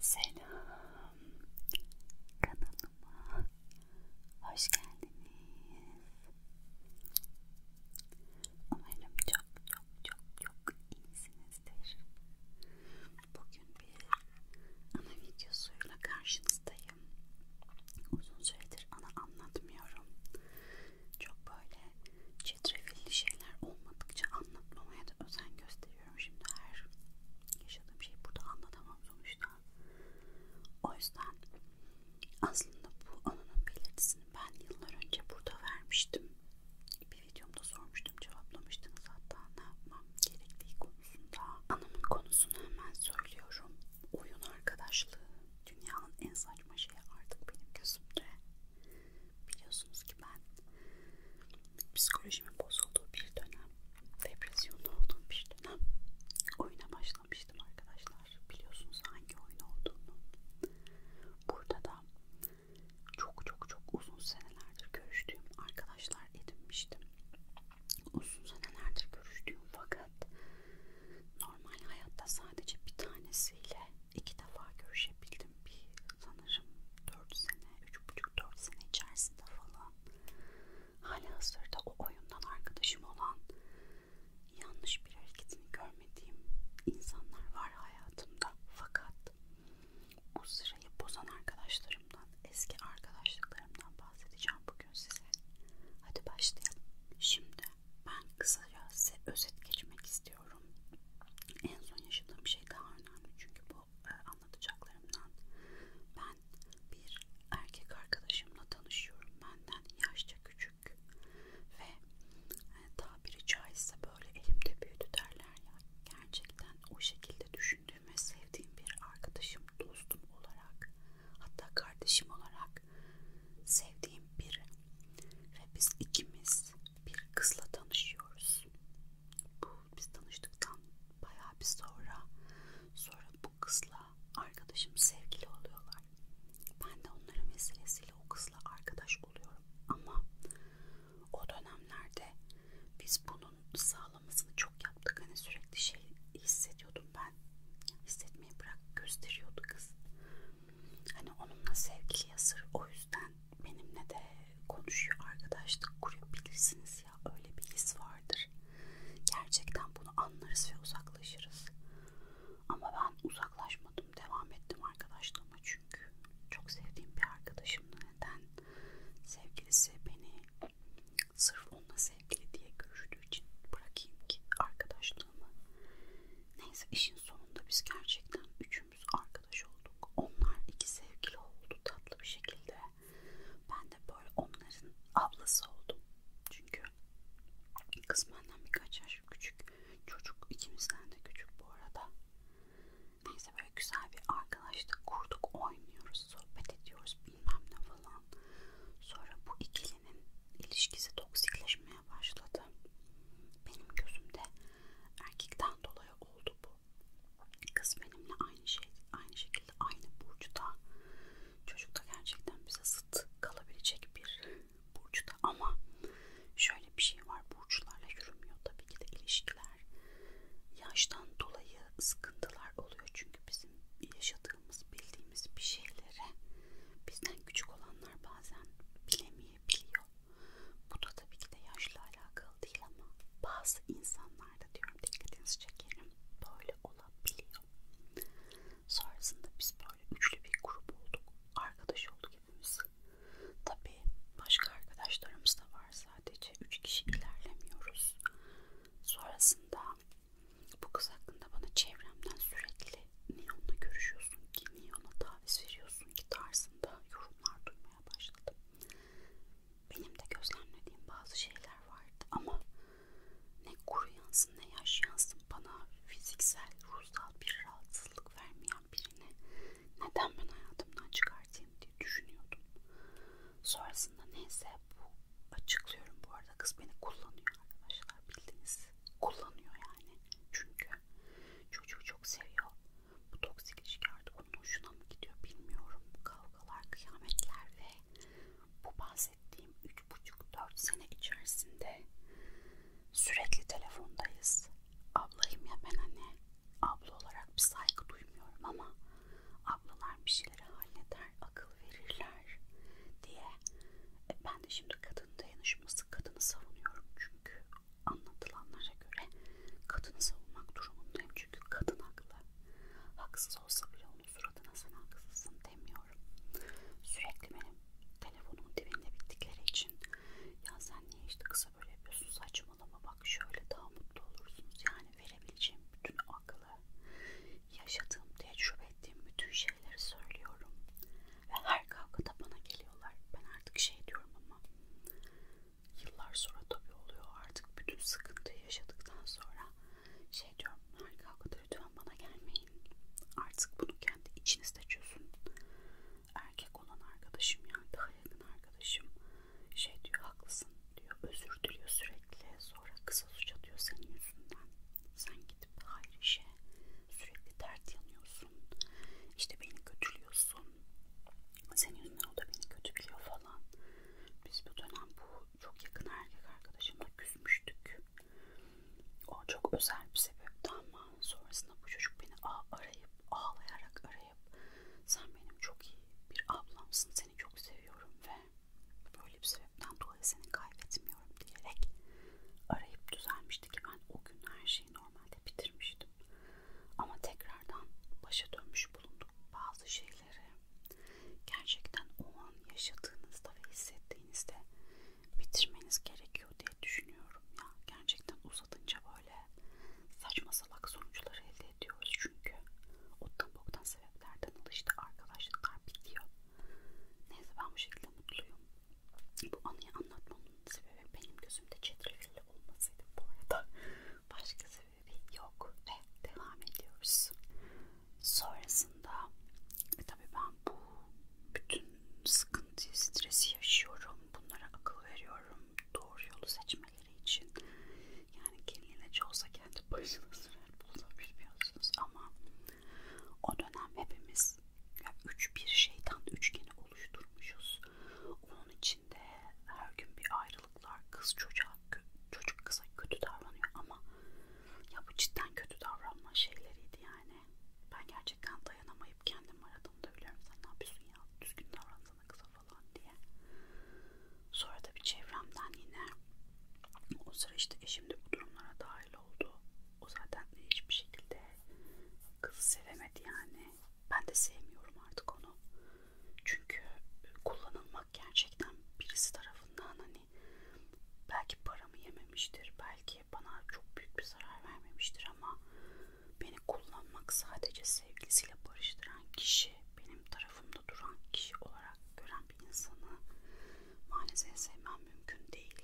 Selam kanalıma hoş geldiniz. Umarım çok çok çok çok iyisinizdir. Bugün bir ana videosuyla karşınızdayım. Uzun süredir ana anlatmıyorum. Çok böyle çetrefilli şeyler olmadıkça anlatmamaya da özen gösteriyorum seviyorum. Şimdi her yaşadığım şeyi burada anlatamam sonuçta. O yüzden aslında bu anının belirtisini ben yıllar önce burada vermiştim. Bir videomda sormuştum, cevaplamıştınız hatta ne yapmam gerektiği konusunda. Anamın konusunu hemen söylüyorum. Oyun arkadaşlığı dünyanın en saçma şeyi artık benim gözümde. Biliyorsunuz ki ben psikolojimin bozulduğu bir dönem, depresyonda olduğum bir dönem oyuna başlamıştım arkadaşlar. Biliyorsunuz hangi oyun olduğunu. Burada da çok çok çok uzun senelerdir görüştüğüm arkadaşlar edinmiştim. Uzun senelerdir görüştüğüm fakat normal hayatta sadece bir tanesiyle iki defa görüşebildim. Bir sanırım 4 sene, 3,5 3-4 sene içerisinde falan hala hazırda o oyundan arkadaşım olan yanlış bir hareketini görmediğim insanlar var hayatımda fakat bu sırayı bozan arkadaşlarımdan eski arkadaşlıklarımdan bahsedeceğim bugün size hadi başlayalım şimdi ben kısaca size özet geçmek istiyorum istiyorum. En son yaşadığım şey daha önemli çünkü bu e, anlatacaklarımdan ben bir erkek arkadaşımla tanışıyorum benden yaşça küçük ve e, tabiri caizse böyle elimde büyüdü derler ya gerçekten o şekilde düşündüğüm ve sevdiğim bir arkadaşım dostum olarak hatta kardeşim olarak sevdiğim biri ve biz ikimiz bir kızla tanışıyoruz. Bu biz tanıştıktan bayağı bir sonra sonra bu kızla arkadaşım sevgili oluyorlar. Ben de onların vesilesiyle o kızla arkadaş oluyorum ama o dönemlerde biz bunun sağlamasını çok yaptık. Hani sürekli şey hissediyordum ben. Hissetmeyi bırak gösteriyordu kız. Hani onunla sevgiliye sır o yüzden benimle de konuşuyor arkadaşlık kurabilirsiniz ya öyle bir his vardır gerçekten bunu anlarız ve uzaklaşırız ama ben uzaklaşmadım devam ettim arkadaşlığıma çünkü çok sevdiğim bir arkadaşımdı neden sevgilisi beni sırf onunla sevgili diye görüldüğü için bırakayım ki arkadaşlığımı neyse işin sonunda biz gerçekten üçümüz arkadaşız arkadaş olduk. Onlar iki sevgili oldu tatlı bir şekilde. Ben de böyle onların ablası oldum. Çünkü kız benden birkaç yaş küçük. Çocuk ikimizden de küçük bu arada. Neyse böyle güzel bir arkadaşlık kurduk. Oynuyoruz, sohbet ediyoruz bilmem ne falan. Sonra bu ikilinin ilişkisi toksikleşmeye başladı. Benim gözümde Erkekten dolayı oldu bu. Kız benimle aynı şey, aynı şekilde aynı burçta. Çocuk da gerçekten bize zıt kalabilecek bir burçta ama şöyle bir şey var. Burçlarla yürümüyor tabii ki de ilişkiler. Yaştan dolayı sıkıntılar oluyor çünkü bizim yaşadığımız, bildiğimiz bir şeylere bizden küçük olanlar bazen bilemeyebiliyor. Bu da tabii ki de yaşla alakalı değil ama bazı insanlarda diyorum dikkatinizi çekerim böyle olabiliyor. Sonrasında biz böyle üçlü bir grup olduk. Arkadaş olduk hepimiz. Tabii başka arkadaşlarımız da var sadece. Üç kişi ilerlemiyoruz. Sonrasında bu kız hakkında bana çevremden sürekli niye onunla görüşüyorsun ki, niye ona taviz veriyorsun ki tarzında yorumlar duymaya konuşmaya başladım. Benim de gözlemlediğim bazı şeyler vardı ama ne kuru yansın ne yaş yansın bana fiziksel, ruhsal bir rahatsızlık vermeyen birini neden ben hayatımdan çıkartayım diye düşünüyordum. Sonrasında neyse bu açıklıyorum bu arada kız beni kullanıyor arkadaşlar bildiğiniz kullanıyor yani çünkü çocuğu çok seviyor bu toksik ilişki artık onun hoşuna mı gidiyor bilmiyorum. Kavgalar, kıyametler ve bu bahsettiğim 3,5-4 sene içerisinde sürekli telefondayız. Ablayım ya ben hani abla olarak bir saygı duymuyorum ama ablalar bir şeyleri halleder, akıl verirler diye. E ben de şimdi kadın dayanışması, kadını savunuyorum çünkü Anlatılanlara göre kadını savunmak durumundayım çünkü kadın haklı. Haksız olsa bile onun suratına sen haksızsın demiyorum. Sürekli benim telefonumun dibinde bittikleri için ya sen niye işte kısa böyle yapıyorsun saçmalama bak şöyle daha mutlu olursunuz. Yani verebileceğim bütün aklı, yaşadığım, tecrübe ettiğim bütün şeyleri söylüyorum. Ve her kavgada bana geliyorlar. Ben artık şey diyorum ama Yıllar sonra tabii oluyor artık bütün sıkıntıyı yaşadıktan sonra şey diyorum harika kadar lütfen bana gelmeyin. Artık bunu kendi içinizde çözün. Erkek olan arkadaşım yani daha yakın arkadaşım şey diyor haklısın diyor özür diliyor sürekli sonra kısa suç atıyor senin yüzünden. Sen gidip hayır işe sürekli dert yanıyorsun. İşte beni kötülüyorsun. Senin yüzünden o da beni kötü biliyor falan. Biz bu dönem bu çok yakın erkek arkadaşımla küsmüştük. O çok özel bir sebepti ama sonrasında bu çocuk beni arayıp ağlayarak arayıp sen benim çok iyi bir ablamsın seni çok seviyorum ve böyle bir sebepten dolayı seni kaybetmiyorum diyerek arayıp düzelmişti ki ben o gün her şeyi normalde bitirmiştim düşündüm. Ama tekrardan başa dönmüş bulunduk bazı şeyleri. Gerçekten o an yaşadığınızda ve hissettiğinizde bitirmeniz gerekiyor diye düşünüyorum. Ya gerçekten uzatınca böyle saçma salak sonuçları elde ediyoruz çünkü ottan boktan sebeplerden oluştu arkadaşlıklar bitiyor. Neyse ben bu şekilde mutluyum. Bu anıyı anlatmamın sebebi benim gözümde çetrefilli olmasıydı bu arada. Başka sebebi yok ve devam ediyoruz. Sonrasında e tabii ben bu bütün sıkıntıyı, stresi yaşıyorum. Bunlara akıl veriyorum. Doğru yolu seçmeleri için. Yani kendine çoğusa kendi başına sürer bulabiliyorsunuz ama o dönem hepimiz olmaz. Yani üç bir şeytan üçgeni oluşturmuşuz. Onun içinde her gün bir ayrılıklar, kız çocuğa, çocuk kıza kötü davranıyor ama ya bu cidden kötü davranma şeyleriydi yani. Ben gerçekten dayanamayıp kendim aradığımda biliyorum sen ne yapıyorsun ya düzgün davransana kıza falan diye. Sonra da bir çevremden yine o sıra işte eşim de bu durumlara dahil oldu. O zaten hiçbir şekilde kızı sevemedi yani ben de sevmiyorum artık onu. Çünkü kullanılmak gerçekten birisi tarafından hani belki paramı yememiştir, belki bana çok büyük bir zarar vermemiştir ama beni kullanmak sadece sevgilisiyle barıştıran kişi, benim tarafımda duran kişi olarak gören bir insanı maalesef sevmem mümkün değil.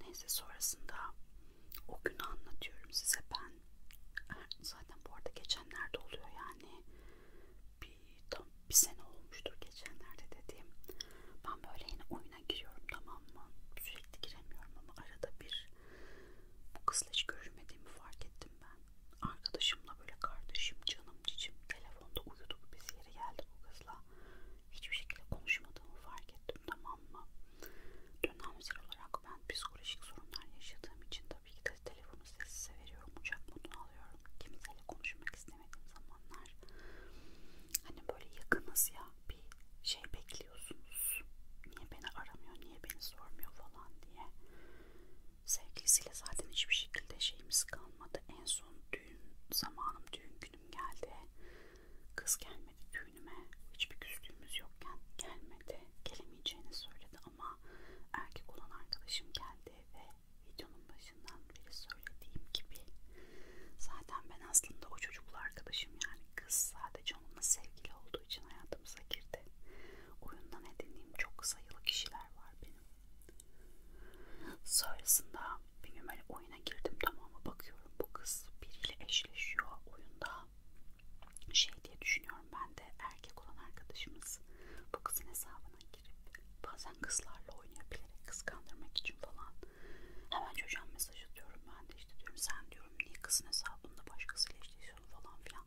Neyse sonrasında o günü anlatıyorum size ben. Er, zaten bu arada geçenlerde oluyor yani. Bir, tam bir sene olmuştur geçenlerde dediğim. Ben böyle yine oyuna giriyorum tamam mı? Sürekli giremiyorum ama arada bir bu kızla hiç görüşmediğimi fark ettim ben. Arkadaşımla böyle kardeşim, canım, cicim telefonda uyuduk biz yeri geldi bu kızla. Hiçbir şekilde konuşmadığımı fark ettim tamam mı? Dönemsel olarak ben psikolojik sorunlar yaşadığım için tabii ki de telefonu sessize veriyorum, uçak modunu alıyorum. Kimseyle konuşmak istemediğim zamanlar hani böyle yakınız ya bir şey bekliyorsunuz. Niye beni aramıyor, niye beni sormuyor falan diye. Sevgilisiyle zaten hiçbir şekilde şeyimiz kalmadı. En son düğün zamanım, düğün günüm geldi. Kız gelmedi düğünüme. Hiçbir küstüğümüz yokken gelmedi. Gelemeyeceğini söyledi ama erkek olan arkadaşım geldi ve videonun başından beri söylediğim gibi zaten ben aslında o çocukla arkadaşım yani kız sadece onunla sevgili olduğu için hayatımıza girdi. Oyundan edindiğim çok sayılı kişiler var benim. Sonrasında benim öyle oyun oyuna girdim tamam mı bakıyorum bu kız biriyle eşleşiyor oyunda şey diye düşünüyorum ben de erkek olan arkadaşımız bu kızın hesabına girip bazen kızlarla oynayabilerek kıskandırmak için falan hemen çocuğa mesaj atıyorum ben de işte diyorum sen diyorum niye kızın hesabında başkasıyla eşleşiyorsun falan filan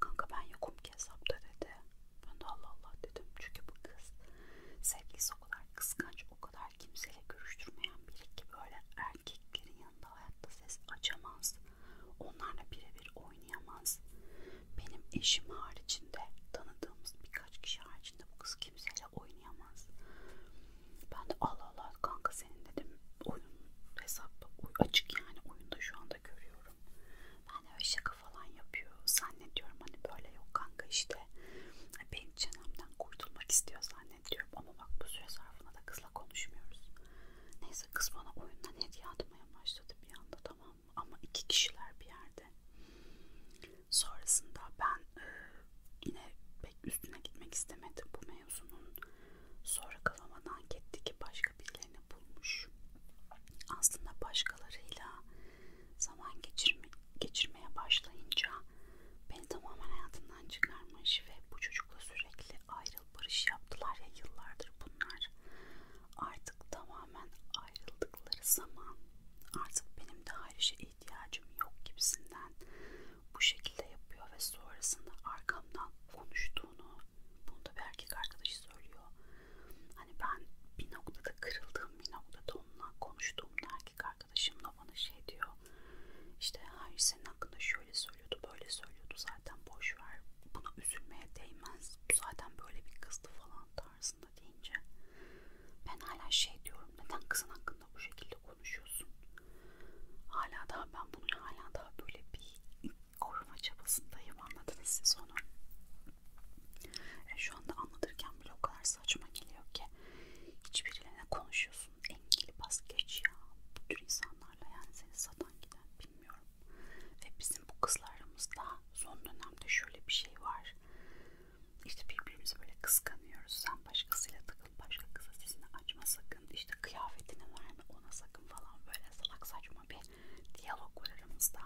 kanka ben yokum ki hesapta dedi ben de Allah Allah dedim çünkü bu kız sevgilisi o kadar kıskanç o kadar kadar kimseyle görüştürmeyen biri ki böyle erkeklerin yanında hayatta ses açamaz. Onlarla birebir oynayamaz. Benim eşim haricinde tanıdığımız birkaç kişi haricinde bu kız kimseyle oynayamaz. Ben de Allah Allah kanka senin dedim oyun hesap açık yani oyunda şu anda görüyorum. Ben de öyle şaka falan yapıyor. Zannediyorum hani böyle yok kanka işte. Bir kendi çenemden kurtulmak istiyor zannediyorum ama bak bu süre zarfında da kızla konuşmuyoruz. Neyse kız bana oyundan hediye atmaya başladı bir anda tamam mı ama iki kişiler bir yerde. Sonrasında ben e, yine pek üstüne gitmek istemedim bu mevzunun. Sonra kafama dank etti ki başka birilerini bulmuş. Aslında başkalarıyla zaman geçirmek geçirmeye başlayınca beni tamamen hayatından çıkarmış ve bu çocukla sürekli ayrıl barış yaptılar ya yıllardır bunlar. Artık tamamen ayrıldıkları zaman artık benim de ayrışa ihtiyacım yok gibisinden bu şekilde yapıyor ve sonrasında arkamdan konuştuğunu bunu da bir erkek arkadaşı söylüyor. Hani ben bir noktada kırıldığım bir noktada onunla konuştuğumda erkek arkadaşım arkadaşım da bana şey diyor. İşte her senin hakkında şöyle söylüyordu, böyle söylüyordu. Zaten boş ver. Buna üzülmeye değmez. Bu zaten böyle bir kızdı falan tarzında deyince ben hala şey diyorum. Neden kızın hakkında bu şekilde konuşuyorsun? Hala daha ben bunu hala daha böyle bir koruma çabasındayım. Anladınız siz onu. E şu anda anlatırken bile o kadar saçma geliyor ki hiçbiriyle ne konuşuyorsun? engeli bas geç ya. Bu tür insanlarla yani seni satan giden bilmiyorum. Ve bizim bu kızlarımızda son dönemde şöyle bir şey var. İşte birbirimizi böyle kıskanıyoruz. Sen başkasıyla takıl, başka kıza sesini açma sakın. İşte kıyafetini verme ona sakın falan böyle salak saçma bir diyalog var aramızda.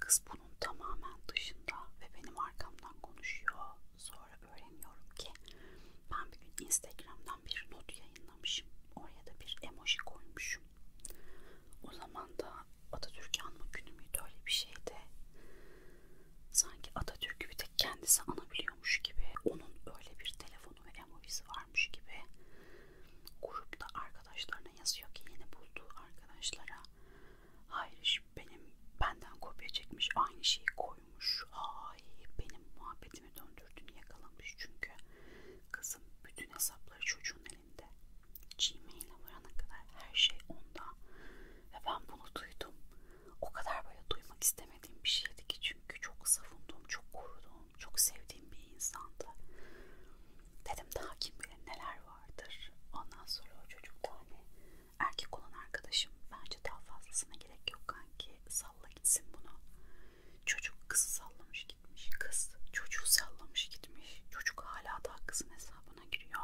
Kız bunun tamamen dışında ve benim arkamdan konuşuyor. Sonra öğreniyorum ki ben bir gün Instagram'dan bir not yayınlamışım. Oraya da bir emoji koymuşum. O zaman da Atatürk'ü anma günü müydü öyle bir şeydi. Sanki Atatürk'ü bir tek kendisi anabiliyormuş gibi. Onun öyle bir telefonu ve emojisi varmış gibi. Grupta arkadaşlarına yazıyor ki yeni bulduğu arkadaşlara Hayır benim benden kopya çekmiş aynı şeyi koymuş. Ay benim muhabbetimi döndürdüğünü yakalamış çünkü kızım bütün hesapları çocuğun elinde. Gmail'e varana kadar her şey onda. Ve ben bunu duydum. O kadar böyle duymak istemediğim bir şeydi ki çünkü çok savunduğum, çok koruduğum, çok sevdiğim bir insandı. Dedim daha kim bilir neler vardır. Ondan sonra o çocuk da hani Erkek olan arkadaşım bence daha fazlasına gerek yok kanki. Salla gitsin bunu. Çocuk kızı sallamış gitmiş. Kız çocuğu sallamış gitmiş. Çocuk hala daha kızın hesabına giriyor.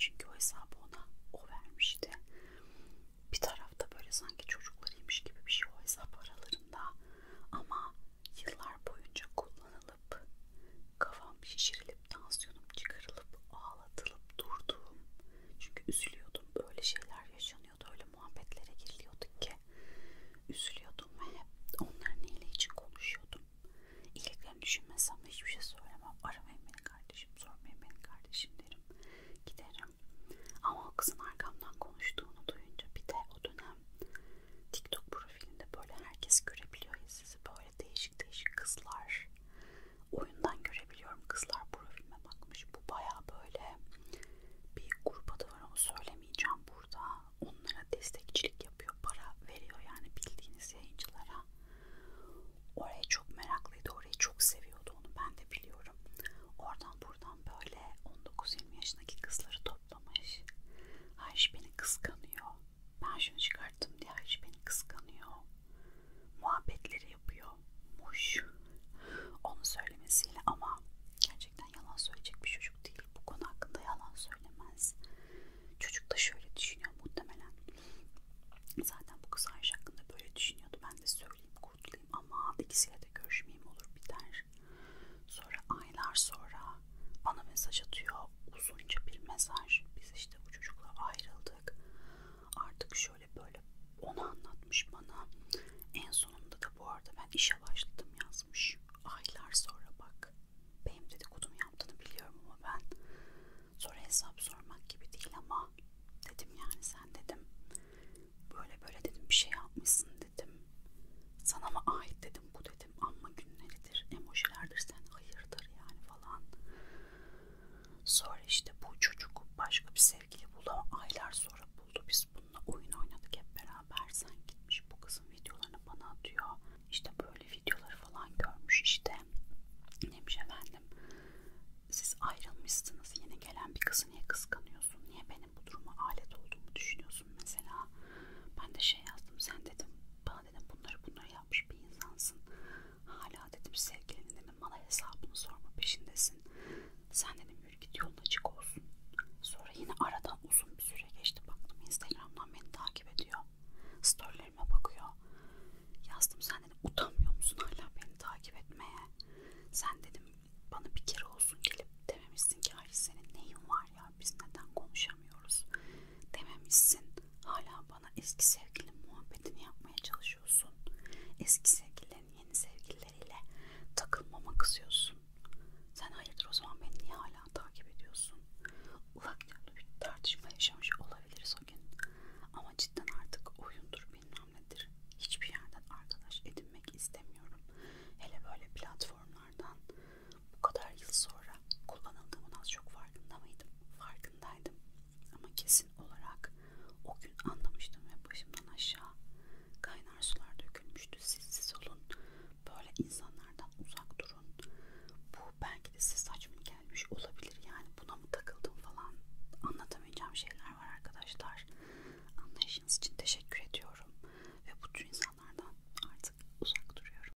Çünkü o hesabı ona o vermişti. Bir tarafta böyle sanki çocuklarıymış gibi bir şey o hesap aralarında. Ama yıllar boyunca kullanılıp kafam şişirilip tansiyonum çıkarılıp ağlamam ağlatılıp durdum. Çünkü üzülüyordum. Öyle şeyler yaşanıyordu. Öyle muhabbetlere giriliyorduk ki. Üzülüyordum ve hep onların iyiliği için konuşuyordum. İyiliklerini düşünmesem hiçbir şey söylemem. Aramayın beni kardeşim, sormayın beni kardeşim derim. Giderim. Ama o kızın arkamdan konuştuğunu duyunca bir de o dönem TikTok profilinde böyle herkes görebiliyor ya sizi böyle değişik değişik kızlar var. Oyundan görebiliyorum kızlar profilime bakmış. Bu baya böyle bir grup da var onu söylemeyeceğim burada. Onlara destekçilik yapıyor, para veriyor yani bildiğiniz yayıncılara. Oraya çok meraklıydı, orayı çok seviyordu onu ben de biliyorum. Oradan buradan böyle 19-20 yaşındaki kızları toplamış. Ayşe beni kıskanıyor. Ben şunu çıkarttım diye Ayşe beni kıskanıyor. Muhabbetleri yapıyor. Muş. Onu söylemesiyle ama gerçekten yalan söyleyecek bir çocuk değil. Bu konu hakkında yalan söylemez. Çocuk da şöyle düşünüyor muhtemelen. Zaten bu kız Ayşe hakkında böyle düşünüyordu. Ben de söyleyeyim kurtulayım ama ikisiyle de görüşmeyeyim olur biter. Sonra aylar sonra bana mesaj atıyor. Uzunca bir mesaj. Biz işte bu çocukla ayrıldık artık şöyle böyle onu anlatmış bana. En sonunda da bu arada ben işe başladım yazmış. Aylar sonra bak benim dedikodumu yaptığını biliyorum ama ben sonra hesap sormak gibi değil ama dedim yani sen dedim böyle böyle dedim bir şey yapmışsın dedim. Sana mı ait dedim bu dedim ama günleridir emojilerdir sen hayırdır yani falan Sonra işte bu çocuk başka bir sevgili buldu ama aylar sonra buldu. Biz bununla oyun oynadık hep beraber. Sen gitmiş bu kızın videolarını bana atıyor. İşte böyle videoları falan görmüş işte. Neymiş efendim. Siz ayrılmışsınız. Yeni gelen bir kızı niye kıskanıyorsun? Niye benim bu duruma alet olduğumu düşünüyorsun mesela? Ben de şey yazdım. Sen dedim bana dedim bunları bunları yapmış bir insansın. Hala dedim sevgilinin dedim bana hesabını sorma peşindesin. Sen dedim yürü git yolun açık olsun. Sonra yine aradan uzun bir süre geçti baktım Instagram'dan beni takip ediyor. Storylerime bakıyor. Yazdım sen dedim utanmıyor musun hala beni takip etmeye? Sen dedim bana bir kere olsun gelip dememişsin ki Hayri senin neyin var ya biz neden konuşamıyoruz? dememişsin. Hala bana eski sevgilin muhabbetini yapmaya çalışıyorsun. Eski sevgililerin yeni sevgilileriyle takılmama kızıyorsun. Sen hayırdır o zaman beni niye hala takip ediyorsun? Ufak bir tartışma yaşamış olabiliriz o gün. Ama cidden artık oyundur bilmem nedir. Hiçbir yerden arkadaş edinmek istemiyorum. Hele böyle platformlardan bu kadar yıl sonra kullanıldığımın az çok farkında mıydım? Farkındaydım. Ama kesin olarak o gün anlamıştım ve başımdan aşağı kaynar sular dökülmüştü. Sessiz olun, böyle insanlardan uzak durun. Bu belki de size saçma gelmiş olabilir yani buna mı takıldım falan anlatamayacağım şeyler var arkadaşlar. Anlayışınız için teşekkür ediyorum ve bu tür insanlardan artık uzak duruyorum.